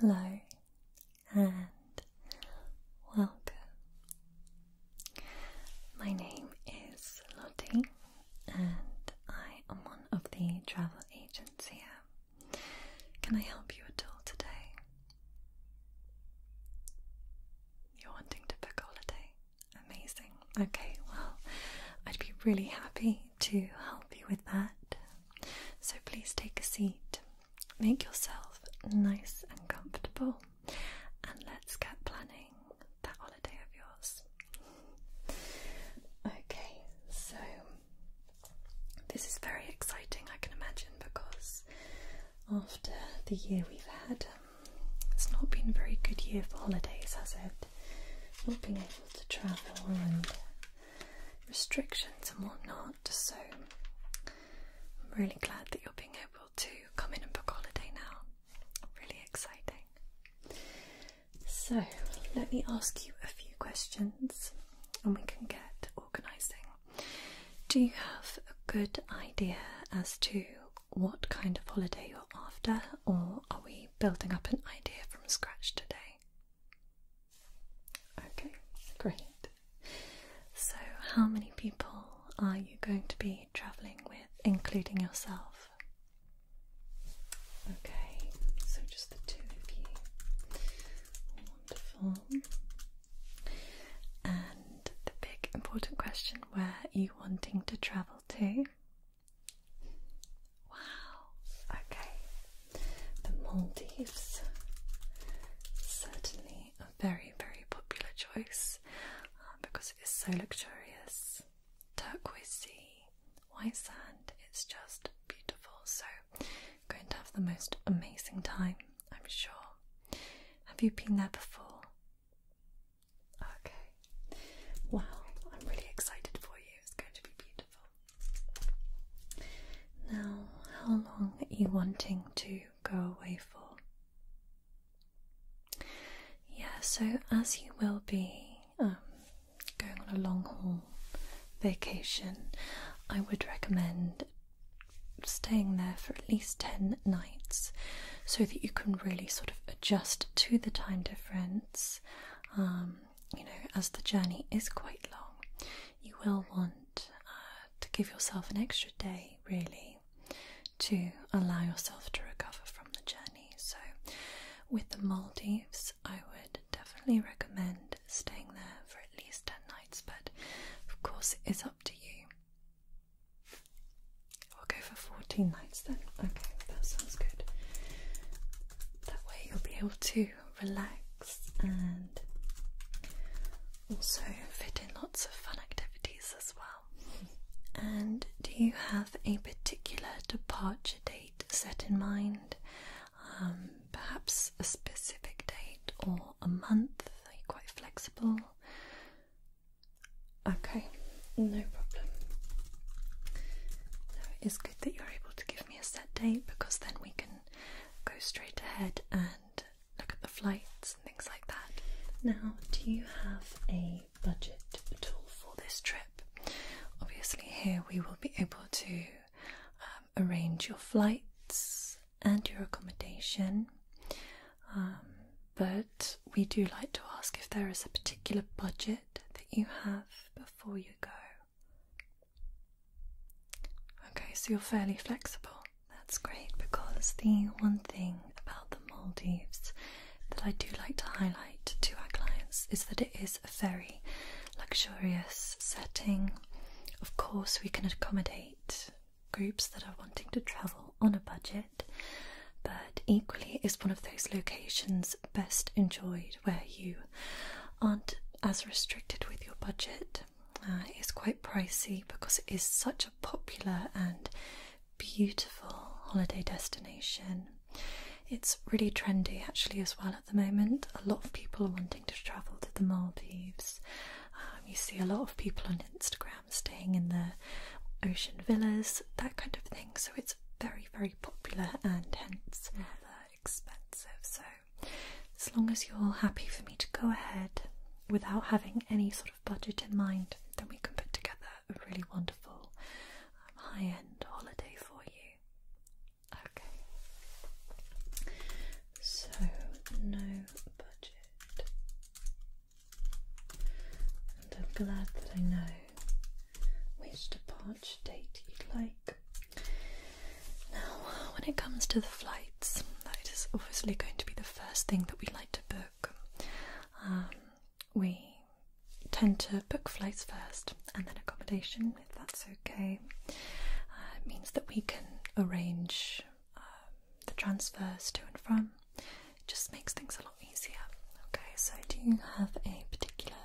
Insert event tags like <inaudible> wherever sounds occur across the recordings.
Hello and welcome. My name is Lottie and I am one of the travel agents here. Can I help you at all today? You're wanting to book a holiday? Amazing. Okay, well, I'd be really happy to help you with that. So please take a seat, make yourself nice and comfortable, and let's get planning that holiday of yours. Okay, so this is very exciting, I can imagine, because after the year we've had, um, it's not been a very good year for holidays, has it? Not being able to travel and restrictions and whatnot, so I'm really glad that you're being able to come in and book holiday now. Really exciting. So, let me ask you a few questions and we can get organising. Do you have a good idea as to what kind of holiday you're after, or are we building up an idea from scratch today? Okay, great. So, how many people are you going to be travelling with, including yourself? Okay, so just the two of you. Wonderful. And the big important question where are you wanting to travel to? Wow, okay. The Maldives. Certainly a very, very popular choice uh, because it is so luxurious. Turquoise white sand, it's just beautiful. So Going to have the most amazing time, I'm sure. Have you been there before? Okay. Wow, I'm really excited for you. It's going to be beautiful. Now, how long are you wanting to go away for? Yeah, so as you will be um, going on a long haul vacation, I would recommend staying there for at least 10 nights so that you can really sort of adjust to the time difference. Um, you know, as the journey is quite long, you will want uh, to give yourself an extra day really to allow yourself to recover from the journey. So, with the Maldives, I would definitely recommend staying there for at least 10 nights, but of course it is up to you. We'll go for 14 nights then. Okay, that sounds good. That way you'll be able to relax and also fit in lots of fun activities as well. And do you have a particular departure date set in mind? Um, perhaps a specific date or a month. Are you quite flexible? Okay, no problem. it is good that you're able to give me a set date because then we can go straight ahead and look at the flights and things like that. Now, do you have a budget at for this trip? Obviously, here we will be able to uh, arrange your flights and your accommodation. Um, but we do like to ask if there is a particular budget that you have before you go. Okay, so you're fairly flexible. That's great because the one thing about the Maldives that I do like to highlight to our clients is that it is a very luxurious setting. Of course, we can accommodate groups that are wanting to travel on a budget, but equally, it's one of those locations best enjoyed where you aren't as restricted with your budget. Uh, it's quite pricey because it is such a popular and beautiful holiday destination. It's really trendy actually as well at the moment. A lot of people are wanting to travel to the Maldives. Um, you see a lot of people on Instagram staying in the ocean villas, that kind of thing. So it's very, very popular and hence expensive. So as long as you're happy for me to go ahead without having any sort of budget in mind, then we can put together a really wonderful um, high end holiday for you. Okay. So no budget. And I'm glad that I know which departure date you'd like. Now, when it comes to the flights, that is obviously going to be the first thing that we like to book. Um, we tend to book flights first and then accommodation that's okay. Uh, it means that we can arrange um, the transfers to and from. It just makes things a lot easier. Okay, so do you have a particular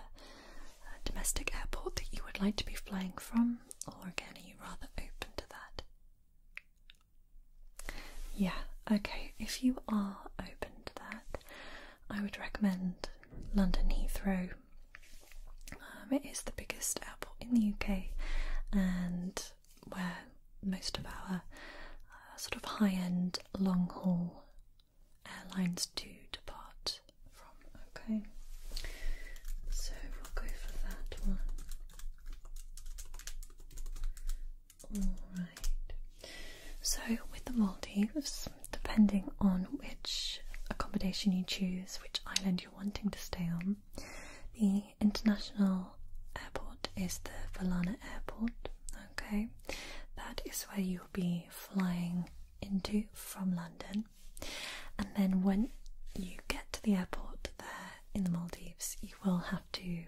uh, domestic airport that you would like to be flying from, or again, are you rather open to that? Yeah, okay, if you are open to that, I would recommend London Heathrow um, it is the biggest airport in the UK and where most of our uh, sort of high end long haul airlines do depart from. Okay, so we'll go for that one. Alright, so with the Maldives, depending on which accommodation you choose, which island you're wanting to stay on. The international airport is the Valana airport, okay? That is where you'll be flying into from London. And then when you get to the airport there in the Maldives, you will have to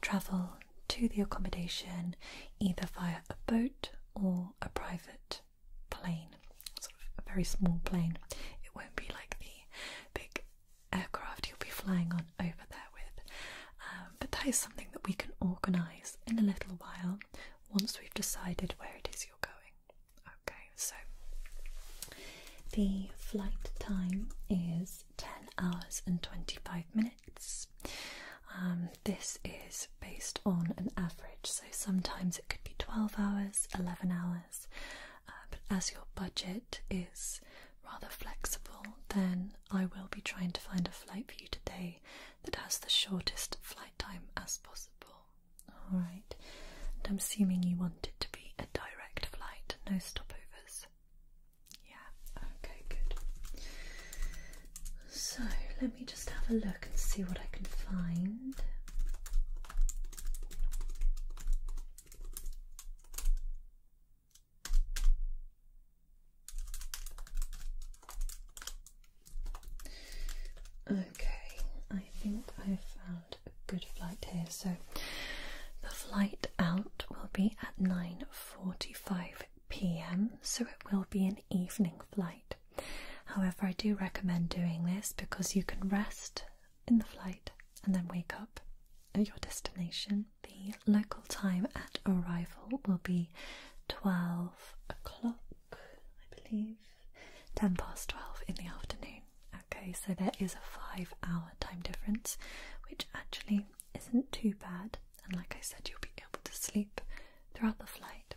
travel to the accommodation either via a boat or a private plane, sort of a very small plane. It won't be like the big aircraft you'll be flying on over there with. Um, but that is something that we can organise in a little while once we've decided where it is you're going. Okay, so the flight time is 10 hours and 25 minutes. Um, this is based on an average, so sometimes it could be 12 hours, 11 hours, uh, but as your budget is rather flexible, then I will be trying to find a flight for you today that has the shortest flight time as possible. Alright, and I'm assuming you want it to be a direct flight, no stopovers. Yeah, okay, good. So let me just have a look and see what I can find. Okay, I think I've found a good flight here. So the flight out will be at 9:45 p.m. So it will be an evening flight. However, I do recommend doing this because you can rest in the flight and then wake up at your destination. The local time at arrival will be 12 o'clock, I believe, 10 past 12 in the afternoon. Okay, so there is a five hour time difference, which actually isn't too bad. And like I said, you'll be able to sleep throughout the flight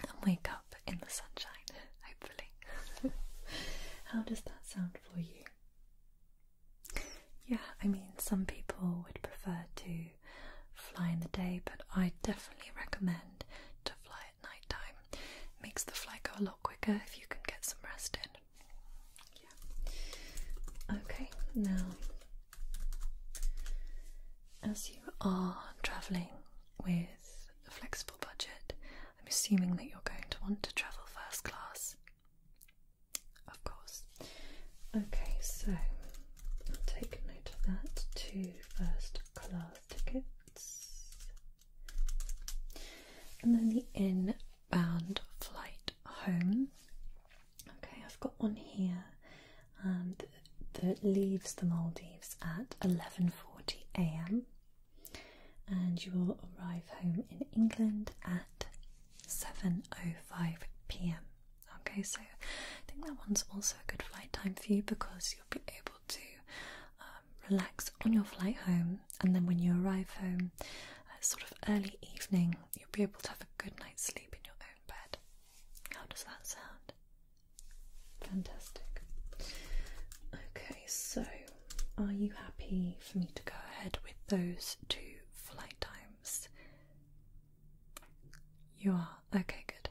and wake up in the sunshine, <laughs> hopefully. <laughs> How does that sound for you? Yeah, I mean, some people would prefer to fly in the day, but I definitely recommend to fly at night time. makes the flight go a lot quicker if you can get some rest in. Yeah. Okay, now as you are travelling with a flexible budget, I'm assuming that you're going to want to travel first class. Of course. Okay, so I'll take note of that. Two first class tickets. And then the inbound flight home. Okay, I've got one here um, that leaves the Maldives at 11:40 a.m. and you will arrive home in England at 7:05 p.m. Okay, so I think that one's also a good flight time for you because you'll be able to um, relax on your flight home, and then when you arrive home, uh, sort of early evening, you'll be able to have a good night's sleep in your own bed. How does that sound? Fantastic. Okay, so are you happy for me to go ahead with those two flight times? You are? Okay, good.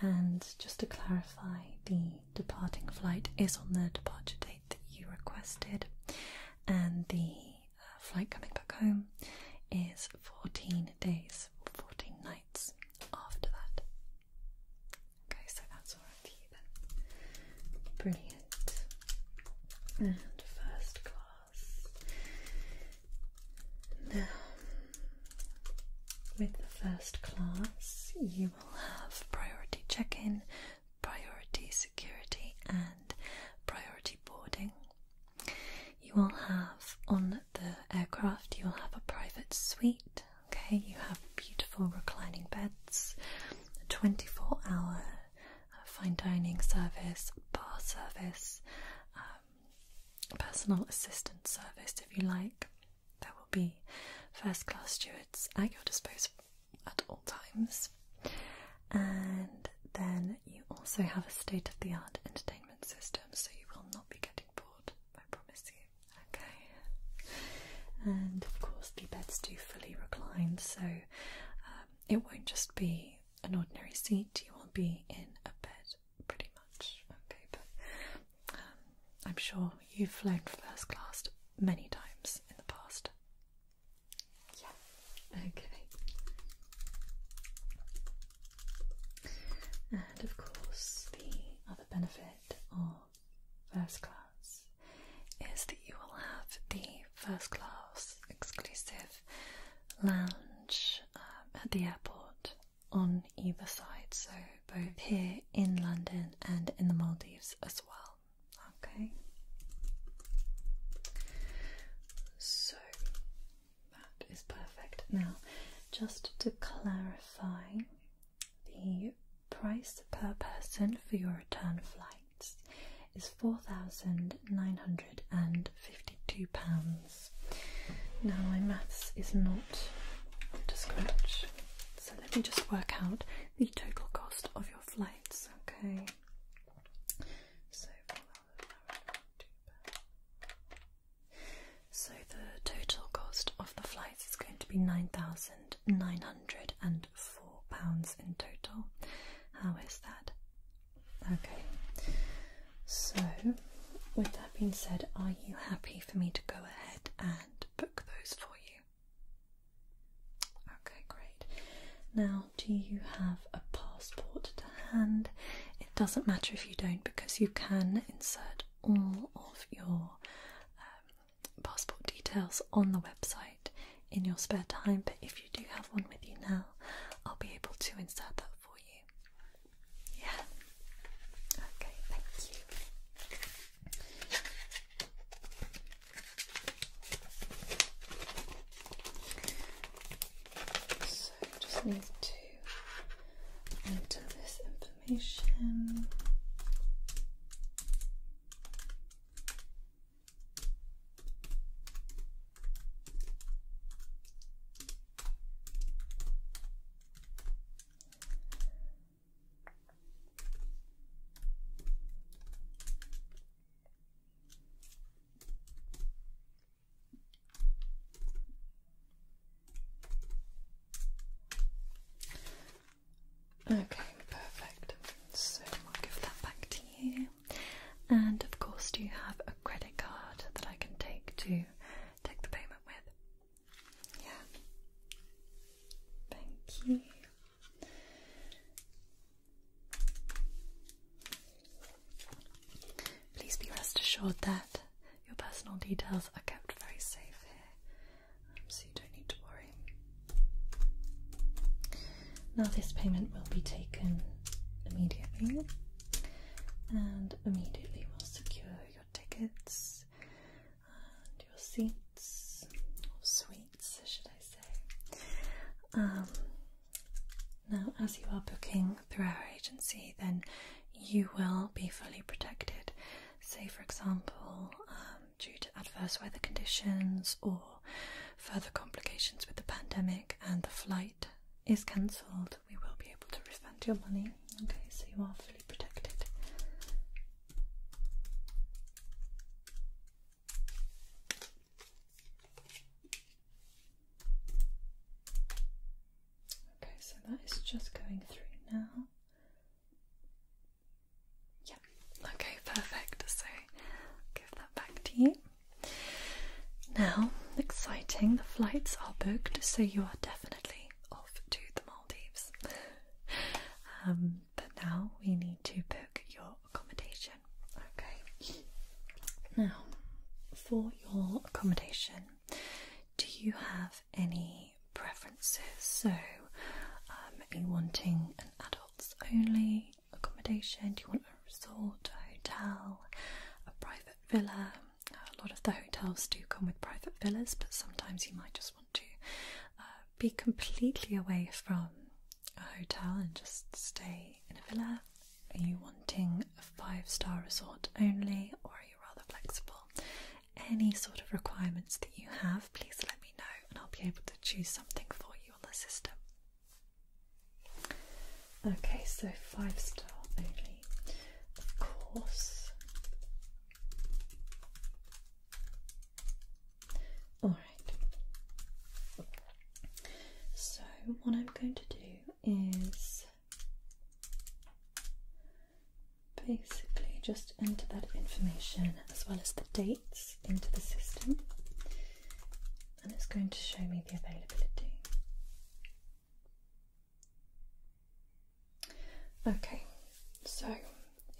And just to clarify, the departing flight is on the departure date that you requested, and the uh, flight coming back home is 14 days, 14 nights after that. Okay, so that's all right then. Brilliant. And first class. Now, with the first class, you will have priority check in, priority security, and priority boarding. You will have on the aircraft, you will have a private suite Okay, you have beautiful reclining beds, a 24 hour uh, fine dining service, bar service, um, personal assistant service if you like. There will be first class stewards at your disposal at all times. And then you also have a state of the art entertainment system, so you will not be getting I promise you. Okay. And of course, the beds do fully recline, so um, it won't just be an ordinary seat, you will be in a bed pretty much. Okay, but um, I'm sure you've flown first class many times in the past. Yeah, okay. And of course, the other benefit or first class is that you will have the first class exclusive lounge um, at the airport on either side, so both here in London and in the Maldives as well. Okay, so that is perfect. Now, just to clarify the price per person for your return flights is £4,952. Now, my maths is not up to scratch, so let me just work out the total cost of your flights, okay? So the total cost of the flights is going to be £9,904 in total. How is that? Okay, so with that being said, are you happy for me to go ahead and book those for you? Okay, great. Now, do you have a passport to hand? It doesn't matter if you don't because you can insert all of your um, passport details on the website in your spare time, but if you do have one with you now, I'll be able to insert that for you. Yeah. Okay, thank you. So just need to into this information. Okay, perfect. So I'll give that back to you. And of course, do you have a credit card that I can take to take the payment with? Yeah. Thank you. Please be rest assured that your personal details are kept very safe here, um, so you don't need to worry. Now, this payment will be taken immediately, and immediately we'll secure your tickets and your seats, or suites, should I say. Um, now, as you are booking through our agency, then you will be fully protected say, for example, um, due to adverse weather conditions or further complications with the pandemic and the flight is cancelled, we will be able to refund your money. Okay, so you are fully protected. Okay, so that is just going through now. Yeah, okay, perfect. So give that back to you. Now, exciting, the flights are booked, so you are definitely off to the Maldives. Um, but now we need to book your accommodation. Okay. Now, for your accommodation, do you have any preferences, so um, are you wanting an adults only accommodation? Do you want a resort, a hotel, a private villa? A lot of the hotels do come with private villas, but sometimes you might just want to uh, be completely away from a hotel and just stay in a villa. Are you wanting a five star resort only, or are you rather flexible? any sort of requirements that you have, please let me know and I'll be able to choose something for you on the system. Okay, so five star only, of course. Alright, so what I'm going to do is basically just enter that information as well as the dates into the system and it's going to show me the availability. Okay, so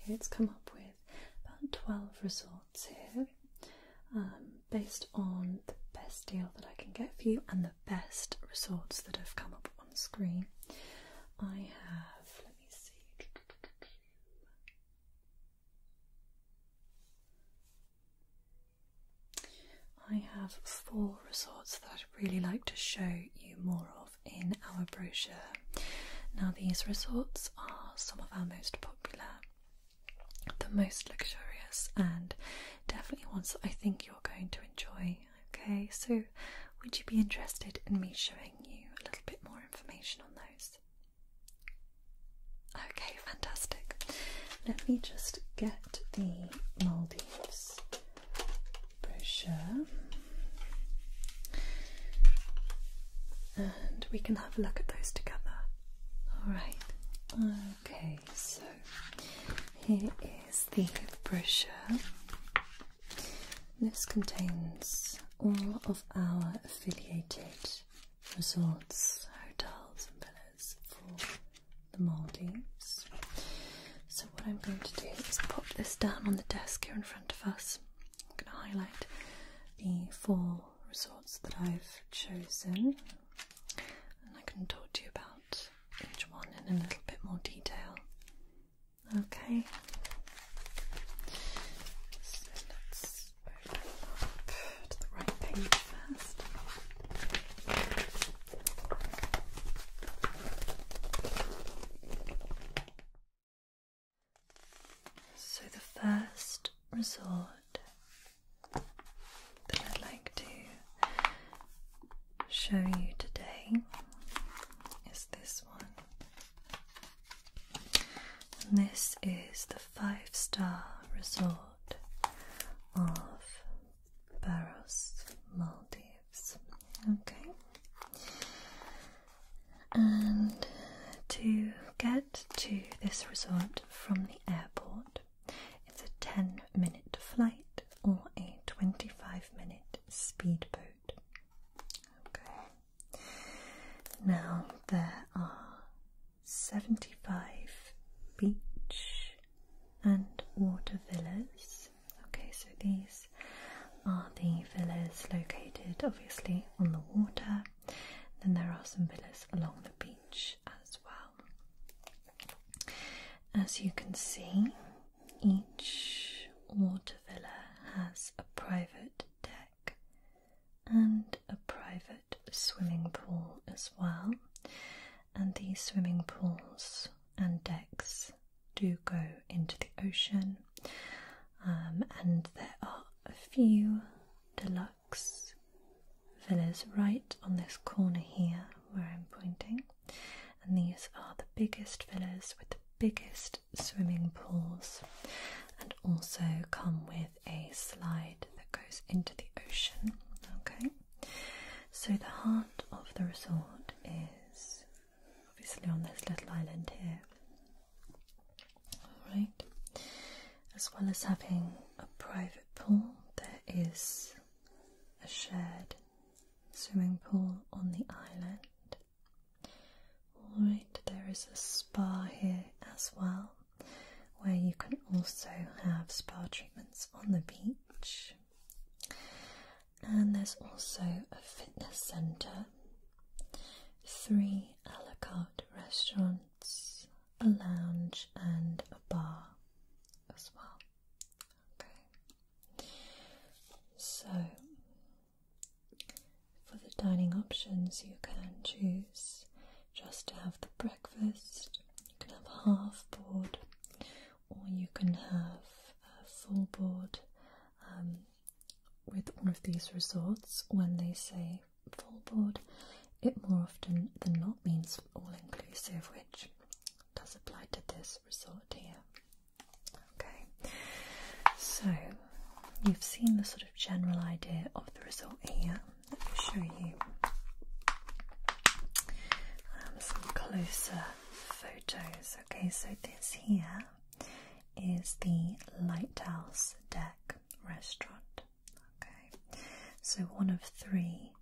it's come up with about 12 resorts here um, based on the best deal that I can get for you and the best resorts that have come up on screen. I have, let me see. I have four resorts that I'd really like to show you more of in our brochure. Now, these resorts are some of our most popular, the most luxurious, and definitely ones that I think you're going to enjoy. Okay, so would you be interested in me showing you a little bit more information on those? Okay, fantastic. Let me just get the Maldives brochure and we can have a look at those together. Alright, okay, so here is the brochure. This contains all of our affiliated resorts, hotels, and villas for the Maldives. So, what I'm going to do is pop this down on the desk here in front of us. I'm going to highlight the four resorts that I've chosen, and I can talk to you about each one in a little bit more detail Okay. So let's open up to the right page first. So the first resort that I'd like to show you today is this one. And this is the five star resort of Barros, Maldives. Okay. And to get to this resort from the airport, it's a 10 minute flight or a 25 minute speedboat. Okay. Now there are 75 beach and water villas. Okay, so these are the villas located obviously on the water. Then there are some villas along the beach as well. As you can see, each water villa has a private deck and a private swimming pool as well, and these swimming pools and decks do go into the ocean, um, and there are a few deluxe villas right on this corner here where I'm pointing and these are the biggest villas with the biggest swimming pools and also come with a slide that goes into the ocean. Okay, so the heart of the resort is obviously on this little island here. Alright, as well as having a private pool, there is a shared swimming pool on the island. Alright, there is a spa here as well, where you can also have spa treatments on the beach. And there's also a fitness centre, three a la carte restaurants, a lounge, and a bar as well. Okay. So for the dining options, you can choose just to have the breakfast. You can have half board, or you can have a full board. Um, with one of these resorts, when they say full board, it more often than not means all inclusive, which does apply to this resort here. Okay, so you've seen the sort of general idea of the result here. Let me show you um, some closer photos. Okay, so this here is the Lighthouse Deck restaurant. Okay, so one of three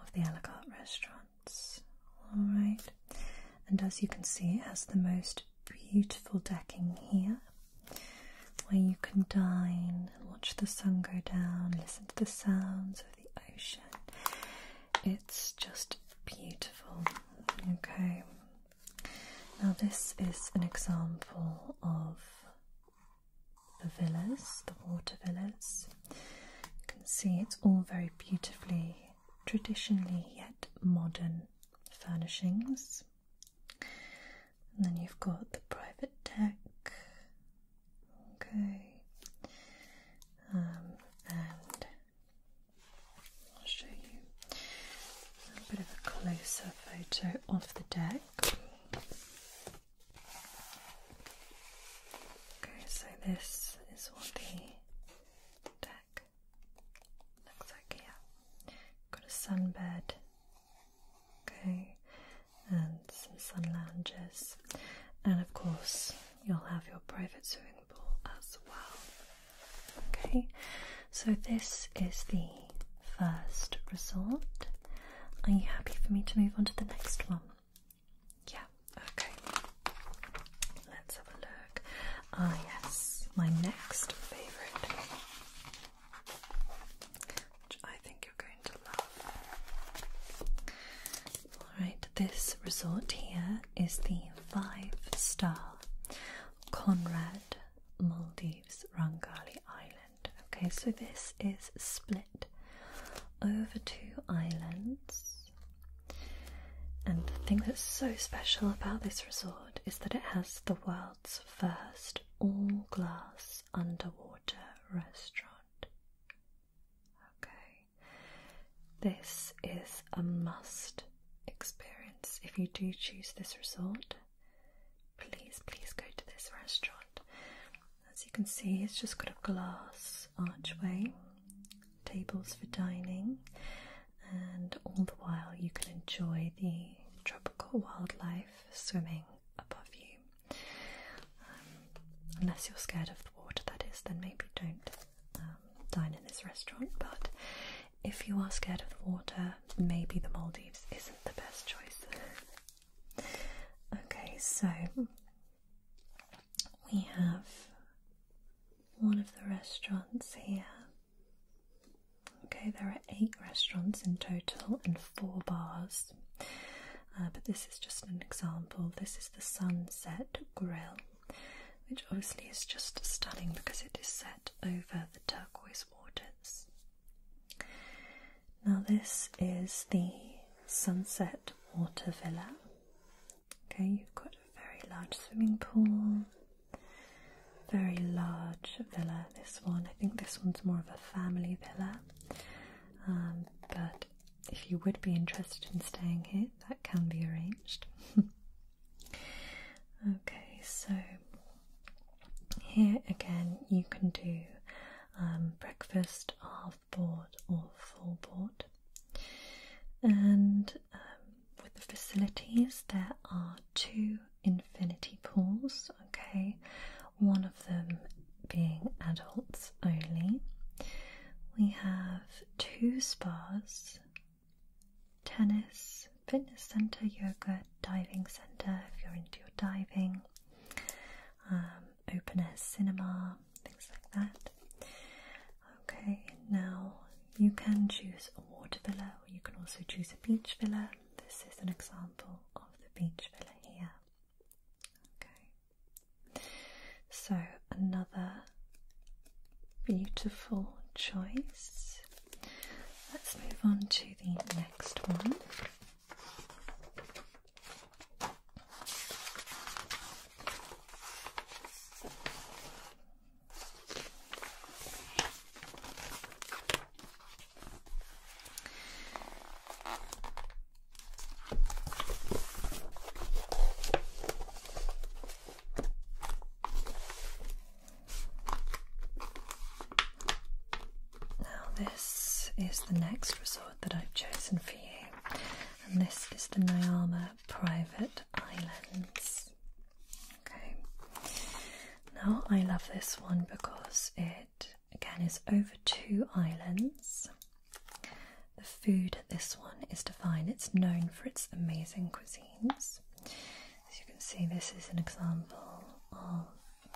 of the a la carte restaurants. Alright, and as you can see, it has the most beautiful decking here where you can dine and watch the sun go down, listen to the sounds of the ocean. It's just beautiful. Okay, now this is an example of the villas, the water villas. You can see it's all very beautifully traditionally yet modern furnishings. And then you've got the private deck, okay, um, and I'll show you a bit of a closer photo of the deck. Okay, so this is what the deck. Looks like yeah. Got a sunbed. Okay. And some sun lounges. And of course you'll have your private swimming pool as well. Okay. So this is the first resort. Are you happy for me to move on to the next one? Yeah, okay. Let's have a look. Ah, yes, my next favourite, which I think you're going to love. Alright, this resort here is the five star Conrad Maldives Rangali Island. Okay, so this is split over two islands. And the thing that's so special about this resort is that it has the world's first all glass underwater restaurant. Okay, this is a must experience if you do choose this resort. Please, please go to this restaurant. As you can see, it's just got a glass archway tables for dining, and all the while you can enjoy the tropical wildlife swimming above you. Um, unless you're scared of the water, that is, then maybe don't um, dine in this restaurant. But if you are scared of the water, maybe the Maldives isn't the best choice. <laughs> okay, so we have one of the restaurants here. Okay, there are eight restaurants in total and four bars, uh, but this is just an example. This is the Sunset Grill, which obviously is just stunning because it is set over the turquoise waters. Now, this is the Sunset Water Villa. Okay, you've got a very large swimming pool, very large villa. This one, I think this one's more of a family villa. Um, but if you would be interested in staying here, that can be arranged. <laughs> okay, so here again, you can do um, breakfast, half board, or full board. And um, with the facilities, there are two infinity pools, okay, one of them being adults only. We have two spas, tennis, fitness center, yoga, diving center if you're into your diving, um, open air cinema, things like that. Okay, now you can choose a water villa or you can also choose a beach villa. This is an example of the beach villa here. Okay, so another beautiful choice. Let's move on to the next one. Now, this is the next resort that I've chosen for you, and this is the Nyama Private Islands. Okay. Now I love this one because it again is over two islands. The food at this one is divine. It's known for its amazing cuisines. As you can see, this is an example of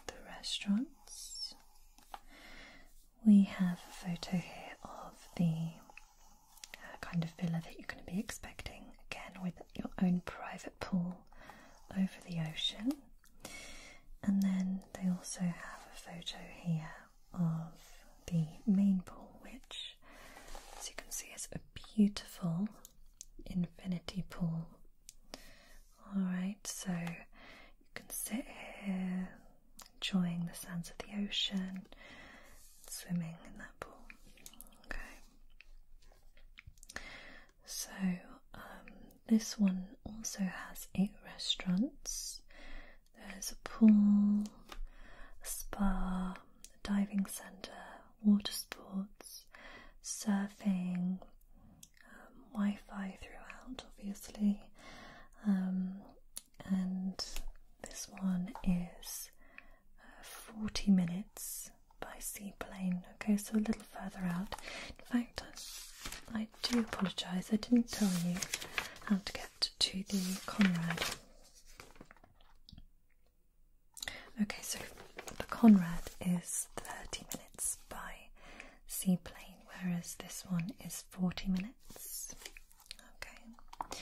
the restaurants. We have a photo here of the kind of villa that you're going to be expecting again with your own private pool over the ocean. And then they also have a photo here of the main pool, which, as you can see, is a beautiful infinity pool. Alright, so you can sit here, enjoying the sounds of the ocean, swimming in that pool. Okay. So um, this one also has eight restaurants. There's a pool, a spa, a diving centre, water sports, surfing, um, Wi-Fi throughout, obviously. Um, and this one is uh, 40 minutes by seaplane. Okay, so a little further out. In fact, I do apologise, I didn't tell you how to get to the Conrad. Okay, so the Conrad is 30 minutes by seaplane, whereas this one is 40 minutes. Okay.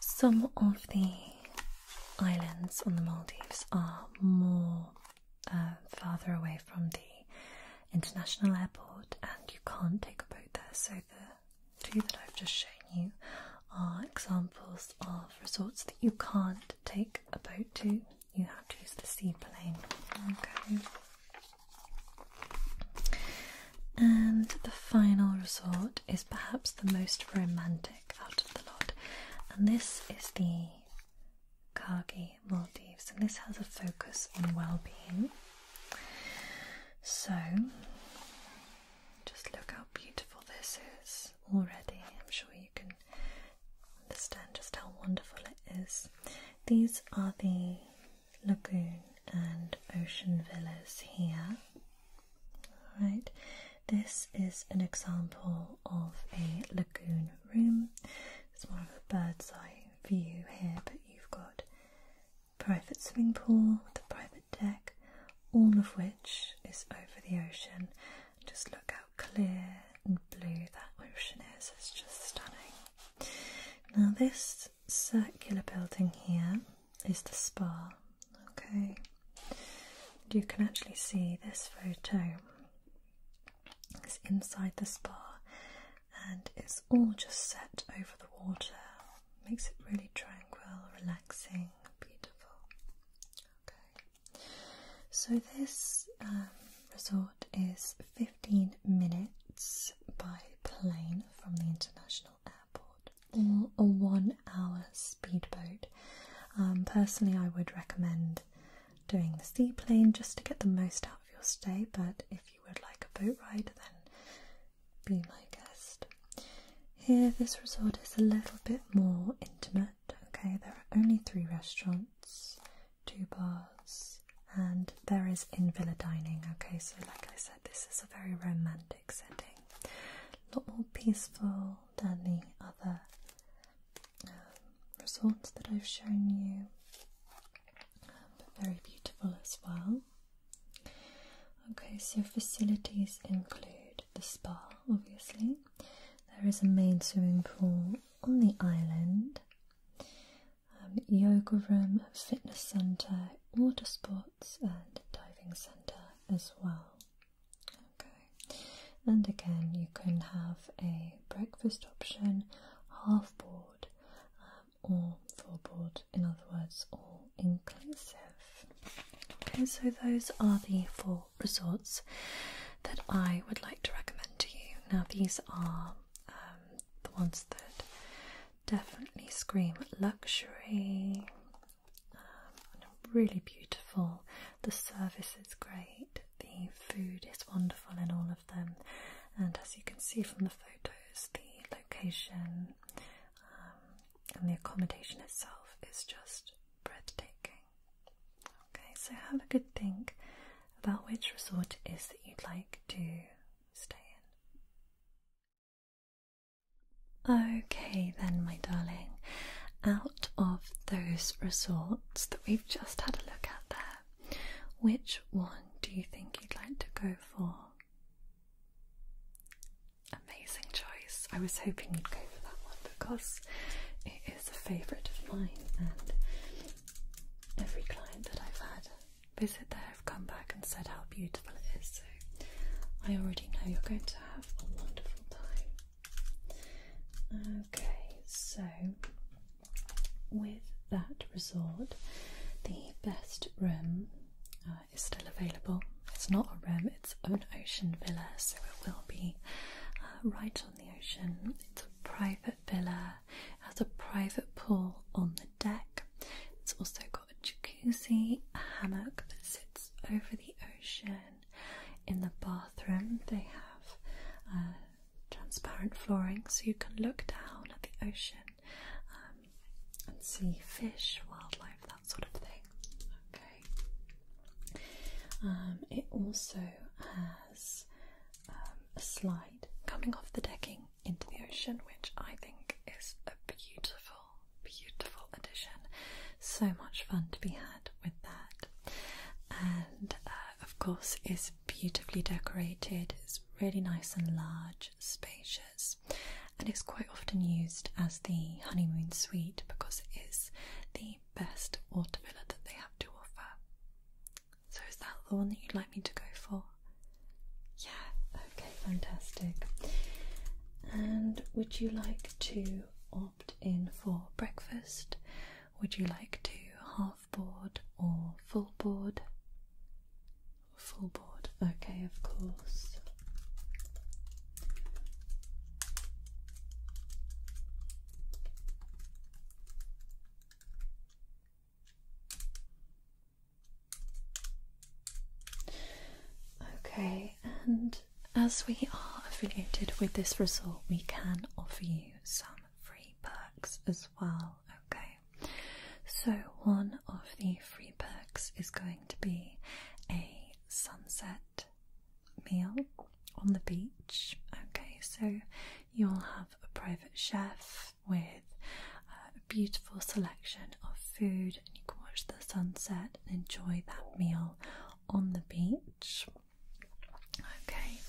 Some of the islands on the Maldives are more uh, farther away from the international airport, and you can't take a boat there. So the two that I've just shown you are examples of resorts that you can't take a boat to. You have to use the seaplane. Okay. And the final resort is perhaps the most romantic out of the lot, and this is the Kargi Maldives, and this has a focus on well being. So, just look how beautiful this is already. I'm sure you can understand just how wonderful it is. These are the lagoon and ocean villas here. Alright, this is an example of a lagoon room. It's more of a bird's eye view here, but you've got private swimming pool with a private deck, all of which is over the ocean. Just look how clear and blue that ocean is, it's just stunning. Now, this circular building here is the spa. Okay, you can actually see this photo It's inside the spa and it's all just set over the water, makes it really tranquil, relaxing, beautiful. Okay, so this um, resort is 15 minutes by plane from the international or a one hour speedboat. Um, personally, I would recommend doing the seaplane just to get the most out of your stay, but if you would like a boat ride, then be my guest. Here, this resort is a little bit more intimate. Okay, there are only three restaurants, two bars, and there is in villa dining. Okay, so like I said, this is a very romantic setting sounding, a lot more peaceful than the other um, resorts that I've shown you, um, but very beautiful as well. Okay, so facilities include the spa, obviously. There is a main swimming pool on the island, um, yoga room, fitness centre, water sports and diving center as well. Okay, and again, you can have a breakfast option, half board, um, or full board, in other words, all inclusive. Okay, so those are the four resorts that I would like to recommend to you. Now, these are um, the ones that definitely scream luxury really beautiful the service is great the food is wonderful in all of them and as you can see from the photos the location um, and the accommodation itself is just breathtaking okay so have a good think about which resort it is that you'd like to stay in Okay, then, my darling, out of those resorts that we've just had a look at there, which one do you think you'd like to go for? Amazing choice. I was hoping you'd go for that one because it is a favourite of mine, and every client that I've had visit there have come back and said how beautiful it is. So I already know you're going to have a wonderful time. Okay, so with that resort, the best room uh, is still available. It's not a room, it's an ocean villa, so it will be uh, right on the ocean. It's a private villa, it has a private pool on the deck. It's also got a jacuzzi, hammock that sits over the ocean. In the bathroom, they have uh, transparent flooring so you can look down at the ocean um, and see fish, wildlife, that sort of thing. Okay. Um, it also has um, a slide coming off the decking into the ocean, which I think is a beautiful, beautiful addition. So much fun to be had with that. And uh, of course, is beautifully decorated. It's really nice and large, spacious, and it's quite often used as the honeymoon suite because it is the best water villa that they have to offer. So, is that the one that you'd like me to go for? Yeah, okay, fantastic. And would you like to opt in for breakfast? Would you like to half board or full board? Full board, okay, of course. Okay, and as we are affiliated with this resort, we can offer you some free perks as well. Okay, so one of the free perks is going to be a sunset meal on the beach. Okay, so you'll have a private chef with uh, beautiful selection of food, and you can watch the sunset and enjoy that meal on the beach. Okay,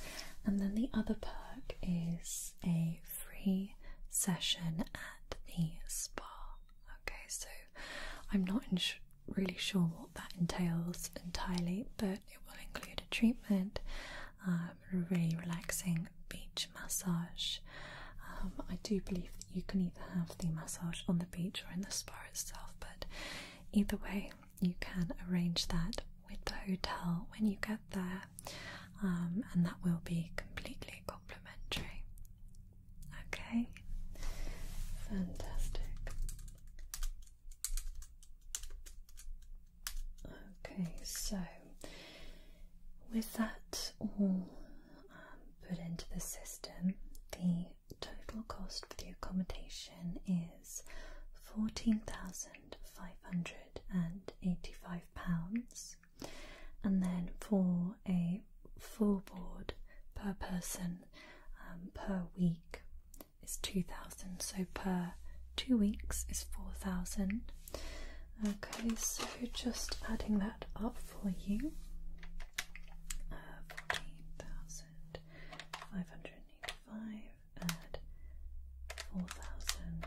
and then the other perk is a free session at the spa. Okay, so I'm not really sure what that entails entirely, but it will include a treatment, um, a really relaxing beach massage. Um, I do believe that you can either have the massage on the beach or in the spa itself, but either way, you can arrange that with the hotel when you get there, um, and that will be completely complimentary. Okay, fantastic. Okay, so with that all put into the system, the total cost for the accommodation is £14,585, and then for a full board per person um, per week is 2000 so per two weeks is 4000 Okay, so just adding that up for you. Uh, 14,585 add 4,000.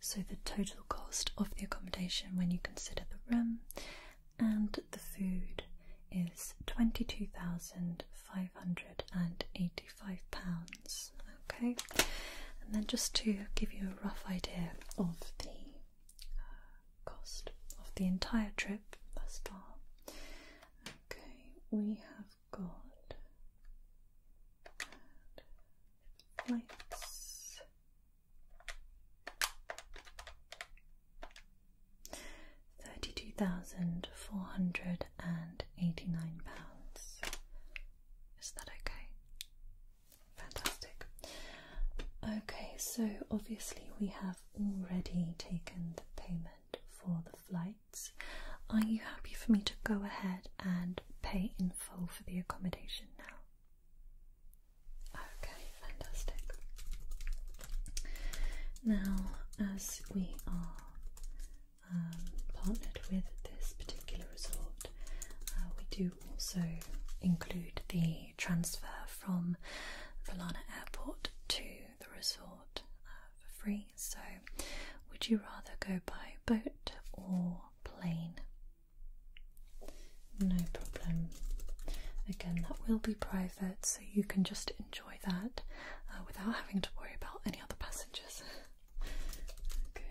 So the total cost of the accommodation when you consider the room and the food is £22,585 Okay, and then just to give you a rough idea of the uh, cost of the entire trip thus far. Okay, we have got uh, flights. Thirty-two thousand four hundred and eighty-nine pounds. Is that okay? Fantastic. Okay, so obviously we have already taken the payment for the flights. Are you happy for me to go ahead and pay in full for the accommodation now? Okay, fantastic. Now, as we are um, partnered with this particular resort, uh, we do also include the transfer from Valana Airport to the resort uh, for free. So, would you rather go by boat or plane? No problem. Again, that will be private, so you can just enjoy that uh, without having to worry about any other passengers. <laughs> Okay.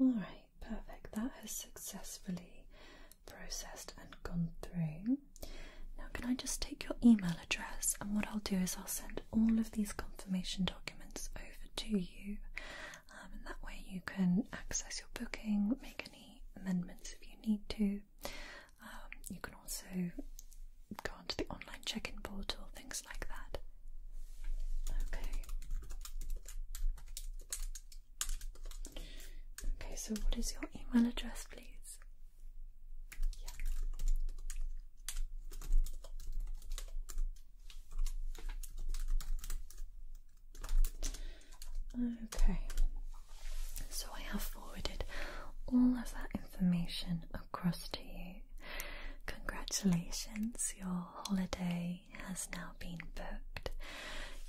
All right, perfect. That has successfully processed and gone through. Now, can I just take your email address? And what I'll do is I'll send all of these confirmation documents over to you, um, and that way you can access your booking, make any amendments if you need to, um, you can also go onto the online check in portal, things like that. Okay. Okay, so what is your email address, please? Yeah. Okay, so I have forwarded all of that information across to you. Congratulations, your holiday has now been booked.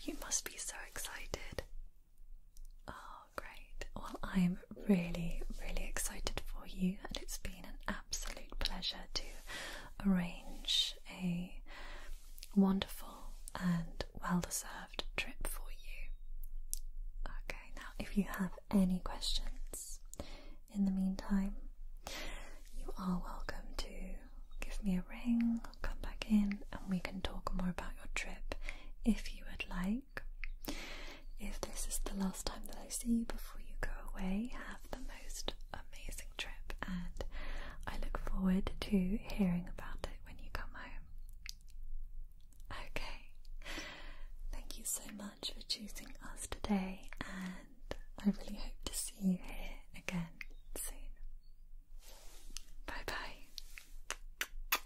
You must be so excited. Oh, great. Well, I'm really, really excited for you, and it's been an absolute pleasure to arrange a wonderful and well deserved trip for you. Okay, now if you have any questions in the meantime, you are welcome to give me a ring, come back in, and we can talk more about your trip if you would like. If this is the last time that I see you before you go away, have the most amazing trip, and I look forward to hearing about it when you come home. Okay. Thank you so much for choosing us today, and I really hope to see you here again soon. Bye bye.